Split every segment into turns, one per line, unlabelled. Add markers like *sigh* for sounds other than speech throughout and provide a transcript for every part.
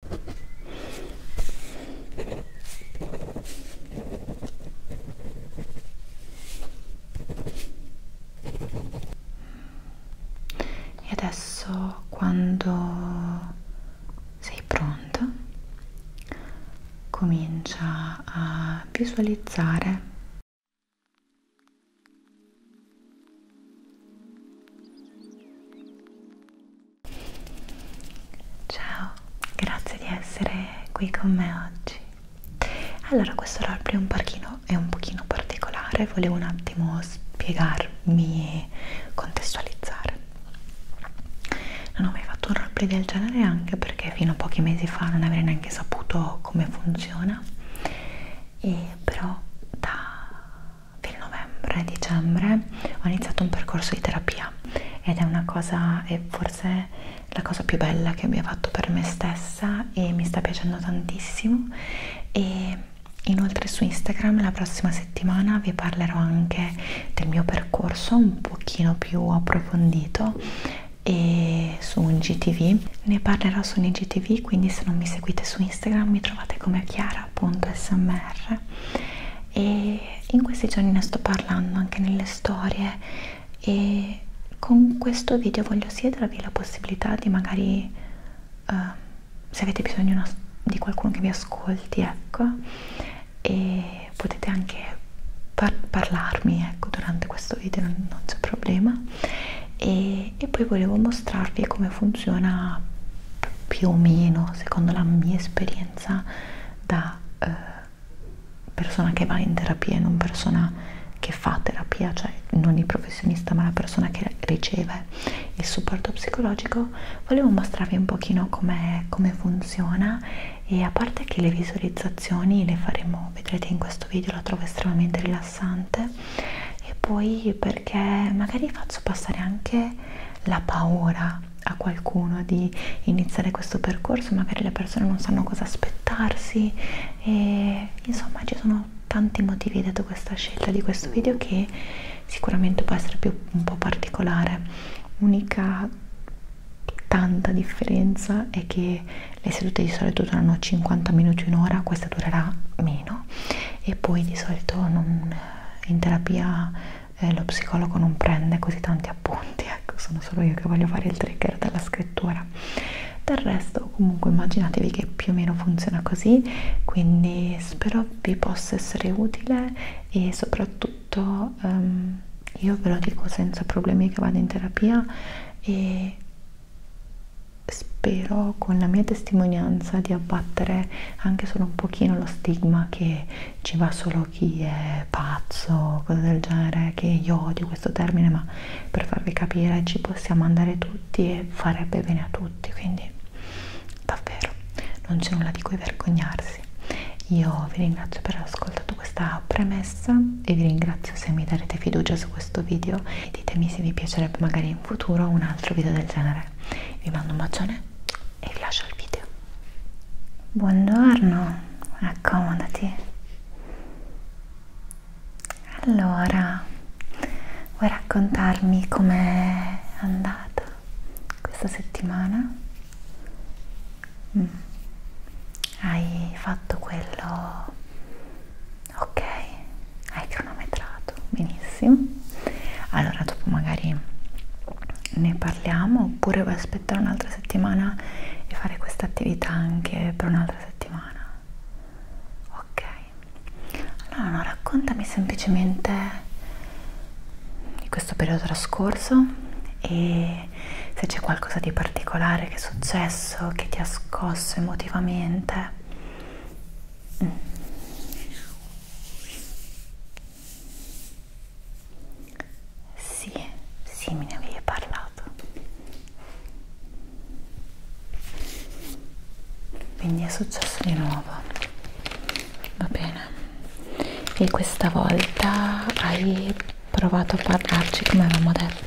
E adesso quando sei pronta comincia a visualizzare Ciao, grazie di essere qui con me oggi. Allora, questo roleplay un pochino, è un pochino particolare, volevo un attimo spiegarmi e contestualizzare. Non ho mai fatto un roleplay del genere anche perché fino a pochi mesi fa non avrei neanche saputo come funziona, e però da fine novembre, dicembre ho iniziato un percorso di terapia ed è una cosa, è forse la cosa più bella che abbia fatto per me stessa e mi sta piacendo tantissimo e inoltre su Instagram la prossima settimana vi parlerò anche del mio percorso un pochino più approfondito e su un GTV ne parlerò su un IGTV quindi se non mi seguite su Instagram mi trovate come Chiara appunto smr e in questi giorni ne sto parlando anche nelle storie e con questo video voglio siedervi la possibilità di magari uh, se avete bisogno di qualcuno che vi ascolti ecco e potete anche par parlarmi ecco durante questo video non, non c'è problema e, e poi volevo mostrarvi come funziona più o meno, secondo la mia esperienza, da eh, persona che va in terapia e non persona che fa terapia, cioè non il professionista ma la persona che riceve il supporto psicologico, volevo mostrarvi un pochino come com funziona e a parte che le visualizzazioni le faremo, vedrete in questo video, la trovo estremamente rilassante e poi perché magari faccio passare anche la paura a qualcuno di iniziare questo percorso, magari le persone non sanno cosa aspettarsi e insomma ci sono tanti motivi dietro questa scelta di questo video che sicuramente può essere più un po' particolare. Unica tanta differenza è che le sedute di solito durano 50 minuti un'ora, questa durerà meno e poi di solito non eh, in terapia eh, lo psicologo non prende così tanti appunti, ecco, sono solo io che voglio fare il trigger dalla scrittura. Del resto comunque immaginatevi che più o meno funziona così, quindi spero vi possa essere utile e soprattutto um, io ve lo dico senza problemi che vado in terapia e spero con la mia testimonianza di abbattere anche solo un pochino lo stigma che ci va solo chi è pazzo, cose del genere, che io odio questo termine, ma per farvi capire ci possiamo andare tutti e farebbe bene a tutti, quindi davvero non c'è nulla di cui vergognarsi. Io vi ringrazio per aver ascoltato questa premessa e vi ringrazio se mi darete fiducia su questo video e ditemi se vi piacerebbe magari in futuro un altro video del genere. Vi mando un bacione piacere e lascia il video. Buongiorno, accomodati. Allora, vuoi raccontarmi com'è andata questa settimana? Mm. Hai fatto quello ok, hai cronometrato Perfetto, benissimo. Allora dopo magari ne parliamo oppure vuoi aspettare un'altra settimana e fare questa attività anche per un'altra settimana? Ok. Allora no, raccontami semplicemente di questo periodo trascorso e se c'è qualcosa di particolare che è successo, che ti ha scosso emotivamente. Mm. Sì, sì, me ne avevi parlato. Quindi è successo di nuovo. Va bene. E questa volta hai provato a parlarci come avevamo detto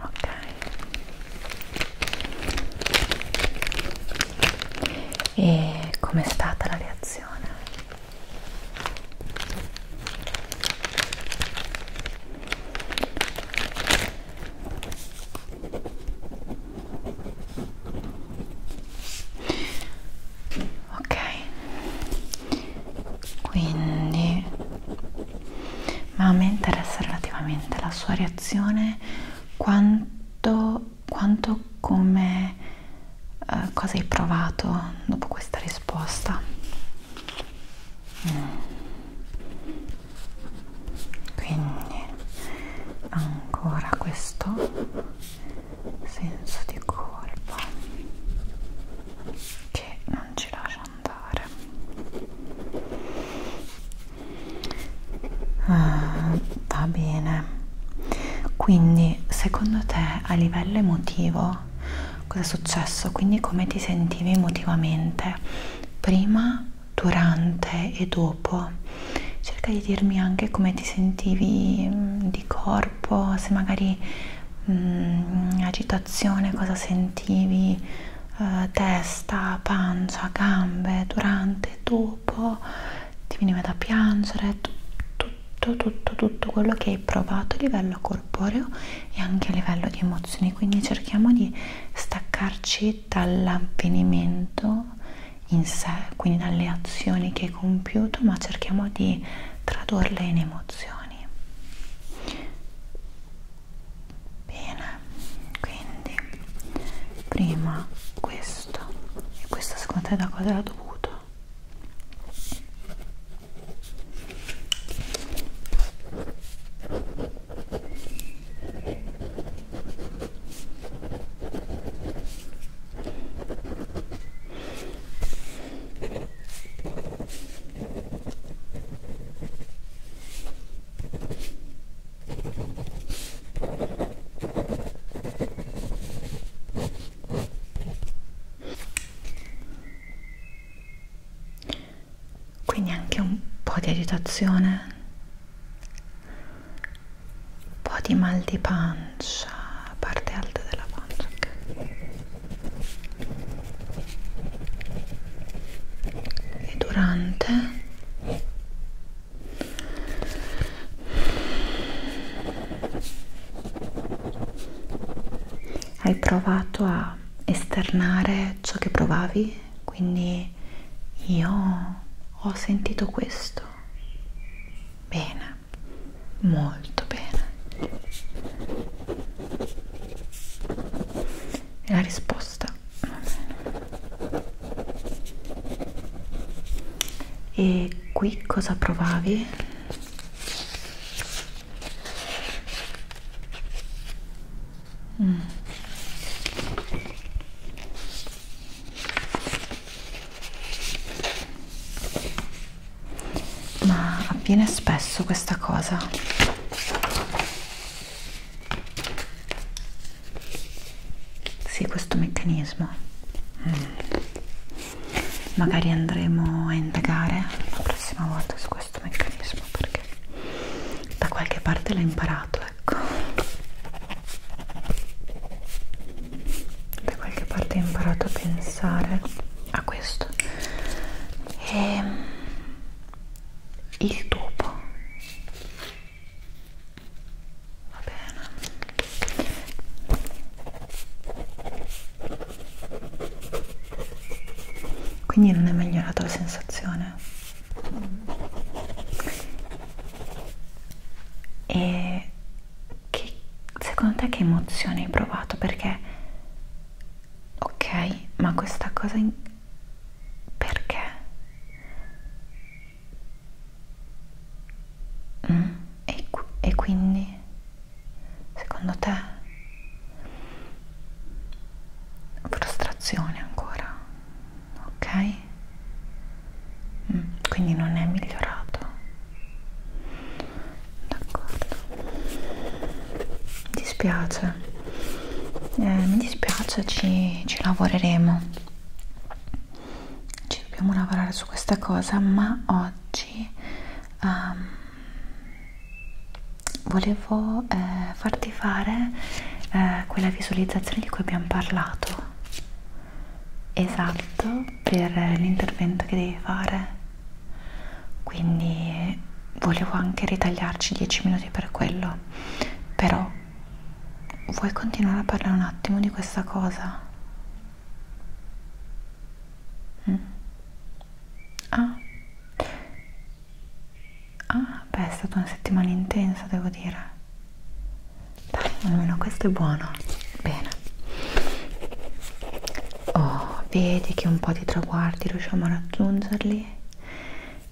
ok e com'è stata la reazione? Ok, quindi ma a me interessa relativamente la sua reazione quanto, quanto come eh, cosa hai provato dopo questa risposta mm. quindi ancora questo senso di colpa che non ci lascia andare ah, va bene quindi secondo te a livello emotivo cosa è successo quindi come ti sentivi emotivamente prima durante e dopo cerca di dirmi anche come ti sentivi mm, di corpo se magari mh, mm, agitazione situazione, cosa sentivi, eh, testa, pancia, gambe, durante, dopo, ti veniva da piangere, tutto, tutto, tutto quello che hai provato a livello corporeo e anche a livello di emozioni. Quindi cerchiamo di staccarci dall'avvenimento in sé, quindi dalle azioni che hai compiuto, ma cerchiamo di tradurle in emozioni. Bene, quindi prima questo e questo secondo te da cosa era dovuto? Quindi anche un po' di agitazione, un po' di mal di pancia, parte alta della pancia. Okay e durante hai provato a esternare ciò che provavi quindi io ho sentito questo bene molto bene è la risposta Va bene. e qui cosa provavi? Mm. Ma avviene spesso questa cosa. Sì, questo meccanismo. Mm. Magari andremo a indagare la prossima volta su questo meccanismo perché da qualche parte l'ho imparato, ecco. Da qualche parte ho imparato a pensare a questo. E ehm, il topo va bene quindi non è migliorata la sensazione e che, secondo te che emozione hai provato perché ok ma questa cosa in... perché mm? e, qui e quindi secondo te frustrazione ancora ok mm, quindi non è migliorato d'accordo mi dispiace eh, mi dispiace ci, ci lavoreremo ci dobbiamo lavorare su questa cosa ma oggi um, volevo eh, farti fare eh, quella visualizzazione di cui abbiamo parlato esatto per eh, l'intervento che devi fare quindi volevo anche ritagliarci 10 minuti per quello però vuoi continuare a parlare un attimo di questa cosa? Mm. Ah. ah beh è stata una settimana intensa devo dire dai almeno questo è buono bene oh, vedi che un po' di traguardi riusciamo a raggiungerli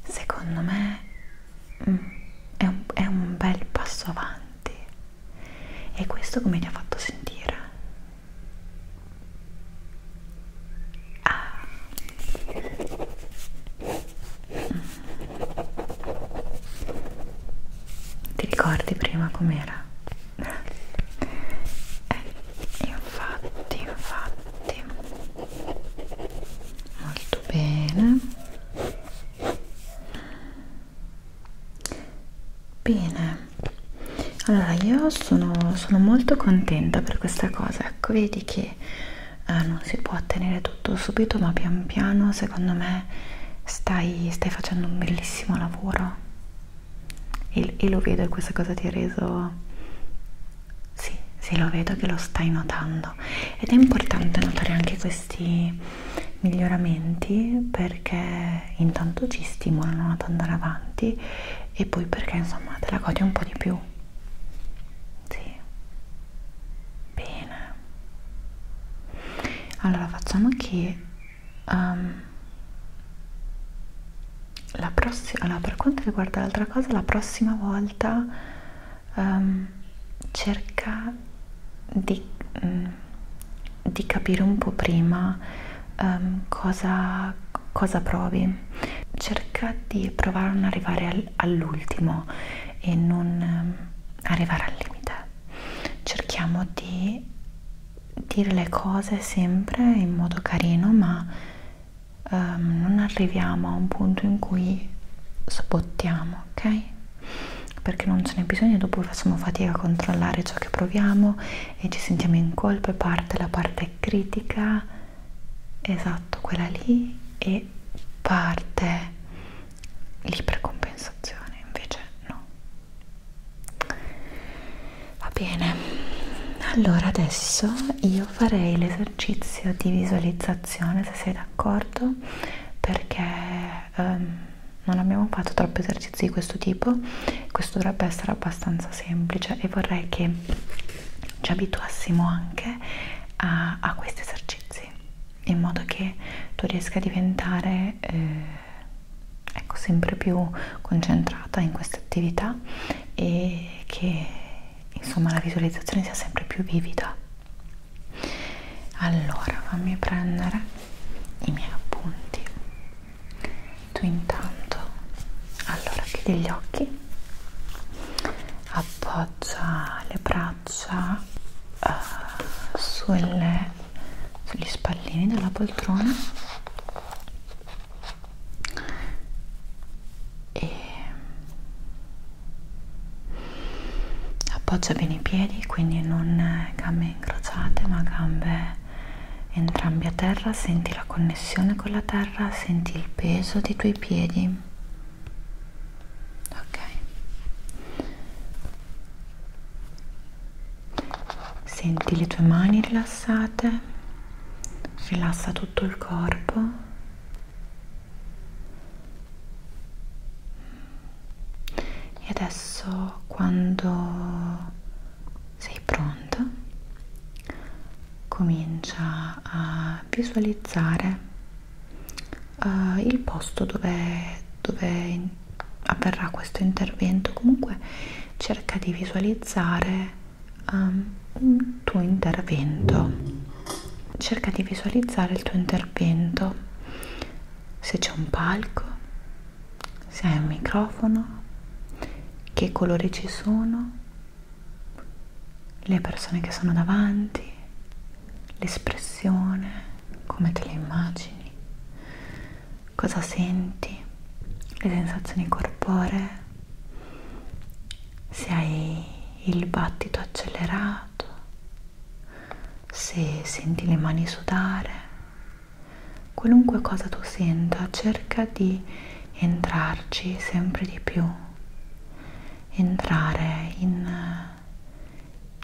secondo me mm, è, un, è un bel passo avanti e questo come ti ha fatto sentire? Ah. Mm. Ti ricordi prima com'era? eh, *laughs* infatti infatti molto bene bene allora io sono, sono molto contenta per questa cosa ecco vedi che eh, non si può ottenere tutto subito ma pian piano secondo me stai, stai facendo un bellissimo lavoro e, e lo vedo e questa cosa ti ha reso sì, sì, lo vedo che lo stai notando ed è importante notare anche questi miglioramenti perché intanto ci stimolano ad andare avanti e poi perché insomma te la godi un po' di più sì bene allora facciamo che um, la prossima allora per quanto riguarda l'altra cosa la prossima volta um, cerca di, um, di capire un po' prima um, cosa, cosa provi cerca di provare a non arrivare al, all'ultimo e non um, arrivare al limite cerchiamo di dire le cose sempre in modo carino ma um, non arriviamo a un punto in cui sbottiamo, ok? Perché non ce n'è bisogno, dopo facciamo fatica a controllare ciò che proviamo e ci sentiamo in colpa e parte la parte critica, esatto, quella lì, e parte l'ipercompensazione, invece no va bene allora adesso io farei l'esercizio di visualizzazione se sei d'accordo perché um, non abbiamo fatto troppi esercizi di questo tipo questo dovrebbe essere abbastanza semplice e vorrei che ci abituassimo anche a, a questi esercizi in modo che tu riesca a diventare eh, ecco sempre più concentrata in questa attività e che insomma la visualizzazione sia sempre più vivida allora fammi prendere i miei appunti tu intanto allora chiudi gli occhi appoggia le braccia uh, sulle, sugli spallini della poltrona e appoggia bene i piedi quindi non gambe incrociate ma gambe entrambi a terra senti la connessione con la terra senti il peso dei tuoi piedi ok senti le tue mani rilassate rilassa tutto il corpo e adesso quando sei pronta comincia a visualizzare uh, il posto dove, dove avverrà questo intervento comunque cerca di visualizzare um, un tuo intervento. Cerca di visualizzare il tuo intervento, se c'è un palco, se hai un microfono, che colori ci sono, le persone che sono davanti, l'espressione, come te le immagini cosa senti, le sensazioni corporee, se hai il battito accelerato, se senti le mani sudare, qualunque cosa tu senta, cerca di entrarci sempre di più, entrare in,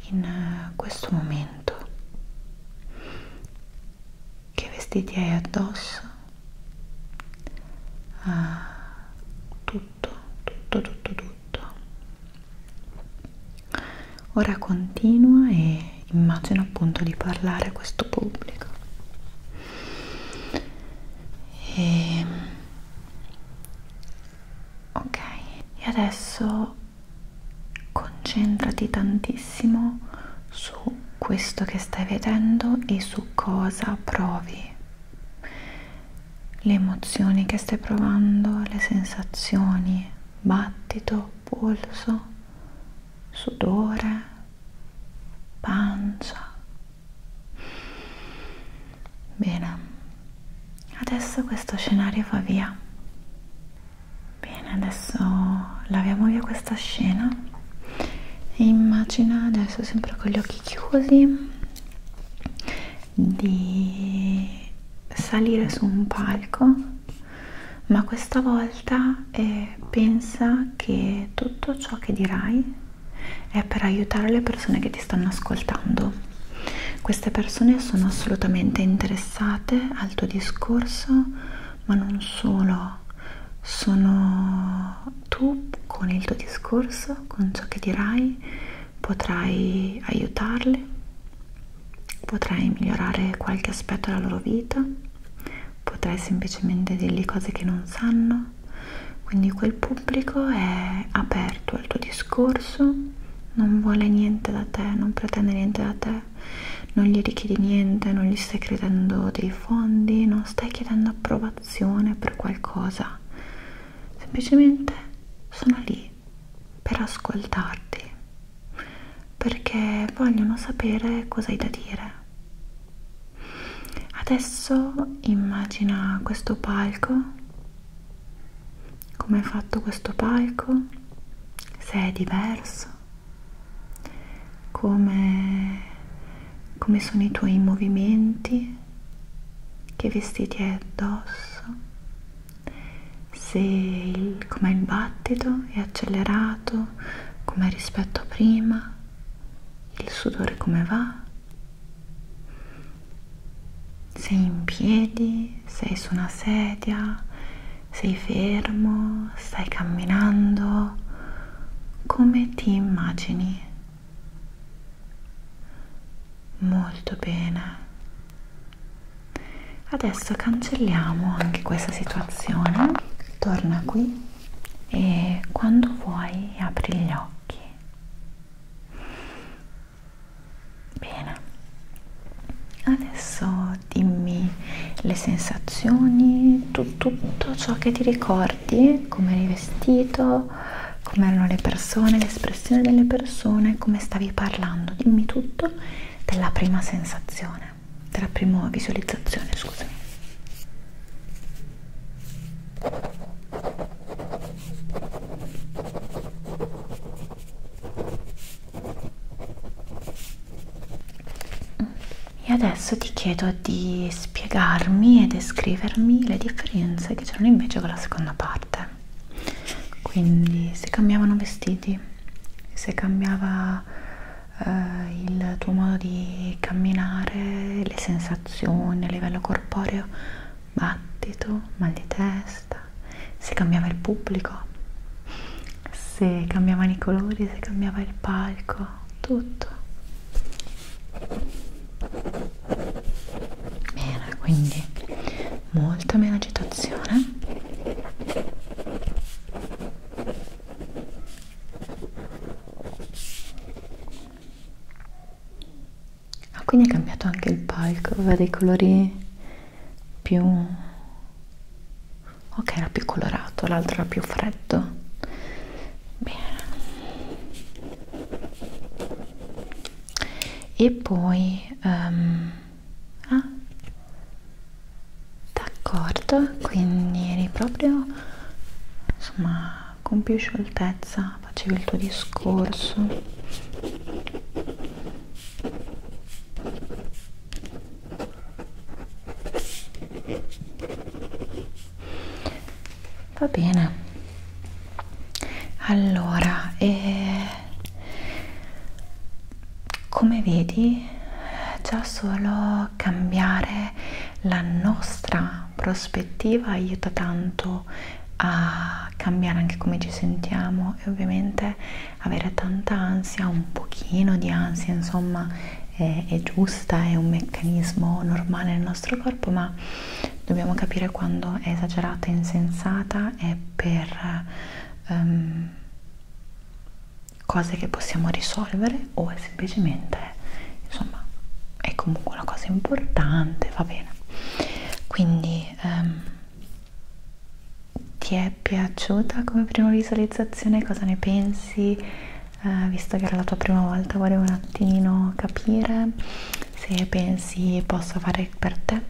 in questo momento che vestiti hai addosso ah, tutto tutto tutto tutto ora continua e immagino appunto di parlare a questo pubblico e... Ehm, ok e adesso concentrati tantissimo su questo che stai vedendo e su cosa provi le emozioni che stai provando le sensazioni battito polso sudore pancia bene adesso questo scenario va via bene adesso laviamo via questa scena e immagina adesso sempre con gli occhi chiusi di salire su un palco ma questa volta eh, pensa che tutto ciò che dirai è per aiutare le persone che ti stanno ascoltando queste persone sono assolutamente interessate al tuo discorso ma non solo, sono tu con il tuo discorso, con ciò che dirai, potrai aiutarli, potrai migliorare qualche aspetto della loro vita, potrai semplicemente dirgli cose che non sanno, quindi quel pubblico è aperto al tuo discorso, non vuole niente da te, non pretende niente da te, non gli richiedi niente, non gli stai chiedendo dei fondi, non stai chiedendo approvazione per qualcosa, semplicemente sono lì per ascoltarti perché vogliono sapere cosa hai da dire. Adesso immagina questo palco, come è fatto questo palco, se è diverso come, come sono i tuoi movimenti, che vestiti hai addosso, se com'è il battito, è accelerato, com'è rispetto a prima, il sudore come va, sei in piedi, sei su una sedia, sei fermo, stai camminando come ti immagini? Molto bene. Adesso cancelliamo anche questa situazione. Torna qui e quando vuoi apri gli occhi. Bene. Adesso dimmi le sensazioni, tu, tutto ciò che ti ricordi, come eri vestito, come erano le persone, l'espressione delle persone, come stavi parlando, dimmi tutto della prima sensazione, della prima visualizzazione, scusami. Mm e adesso ti chiedo di spiegarmi e descrivermi le differenze che c'erano invece con la seconda parte quindi se cambiavano vestiti se cambiava eh, il tuo modo di camminare le sensazioni a livello corporeo battito mal di testa se cambiava il pubblico se cambiavano i colori se cambiava il palco qua tutto bene quindi molta meno agitazione ah quindi è cambiato anche il palco va dei colori più ok era più colorato l'altro era più freddo bene e poi um, ah, d'accordo quindi eri proprio insomma con più scioltezza facevi il tuo discorso va bene allora eh, come vedi già solo cambiare la nostra prospettiva aiuta tanto a cambiare anche come ci sentiamo e ovviamente avere tanta ansia un pochino di ansia insomma è, è giusta, è un meccanismo normale nel nostro corpo, ma dobbiamo capire quando è esagerata e insensata e per um, cose che possiamo risolvere o è semplicemente, insomma, è comunque una cosa importante, va bene. Quindi um, ti è piaciuta come prima visualizzazione? Cosa ne pensi? eh, visto che era la tua prima volta volevo un attimino capire se pensi possa fare per te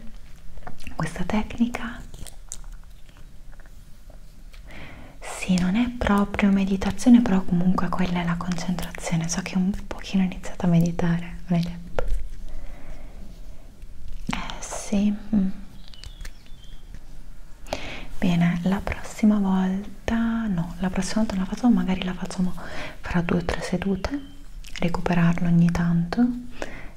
questa tecnica sì, non è proprio meditazione, però comunque quella è la concentrazione. So che un pochino ho iniziato a meditare, non hai detto? Eh sì. Mm bene la prossima volta no la prossima volta non la facciamo magari la facciamo fra due o tre sedute recuperarlo ogni tanto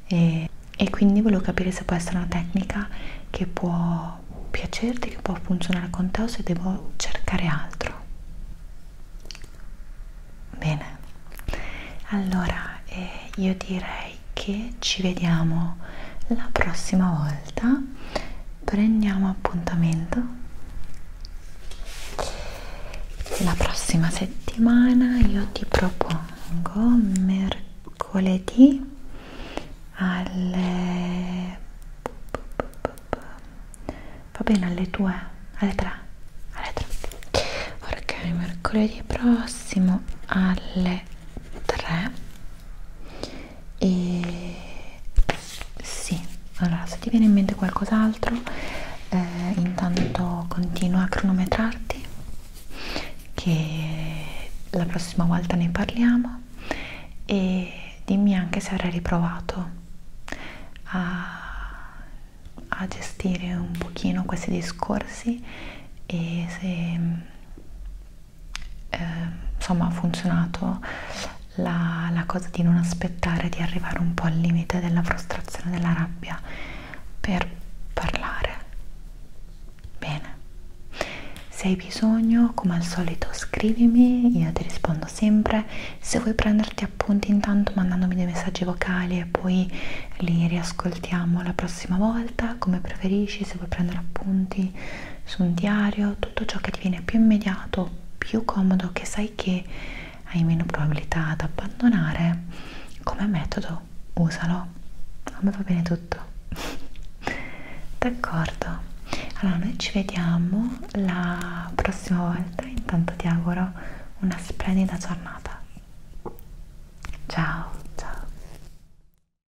e, e quindi volevo capire se può essere una tecnica che può piacerti che può funzionare con te o se devo cercare altro bene allora eh, io direi che ci vediamo la prossima volta prendiamo appuntamento la prossima settimana io ti propongo mercoledì alle va bene alle 2 alle 3 alle 3 ok mercoledì prossimo alle 3 e sì, allora se ti viene in mente qualcos'altro eh, intanto continua a cronometrarti che la prossima volta ne parliamo e dimmi anche se avrai riprovato a, a gestire un pochino questi discorsi e se eh, insomma ha funzionato la, la cosa di non aspettare di arrivare un po' al limite della frustrazione, della rabbia per parlare bene se hai bisogno come al solito scrivimi io ti rispondo sempre se vuoi prenderti appunti intanto mandandomi dei messaggi vocali e poi li riascoltiamo la prossima volta come preferisci se vuoi prendere appunti su un diario, tutto ciò che ti viene più immediato, più comodo, che sai che hai meno probabilità ad abbandonare, come metodo usalo. A me va bene tutto. *laughs* D'accordo. Allora, noi ci vediamo la prossima volta. Intanto ti auguro una splendida giornata. Ciao, ciao.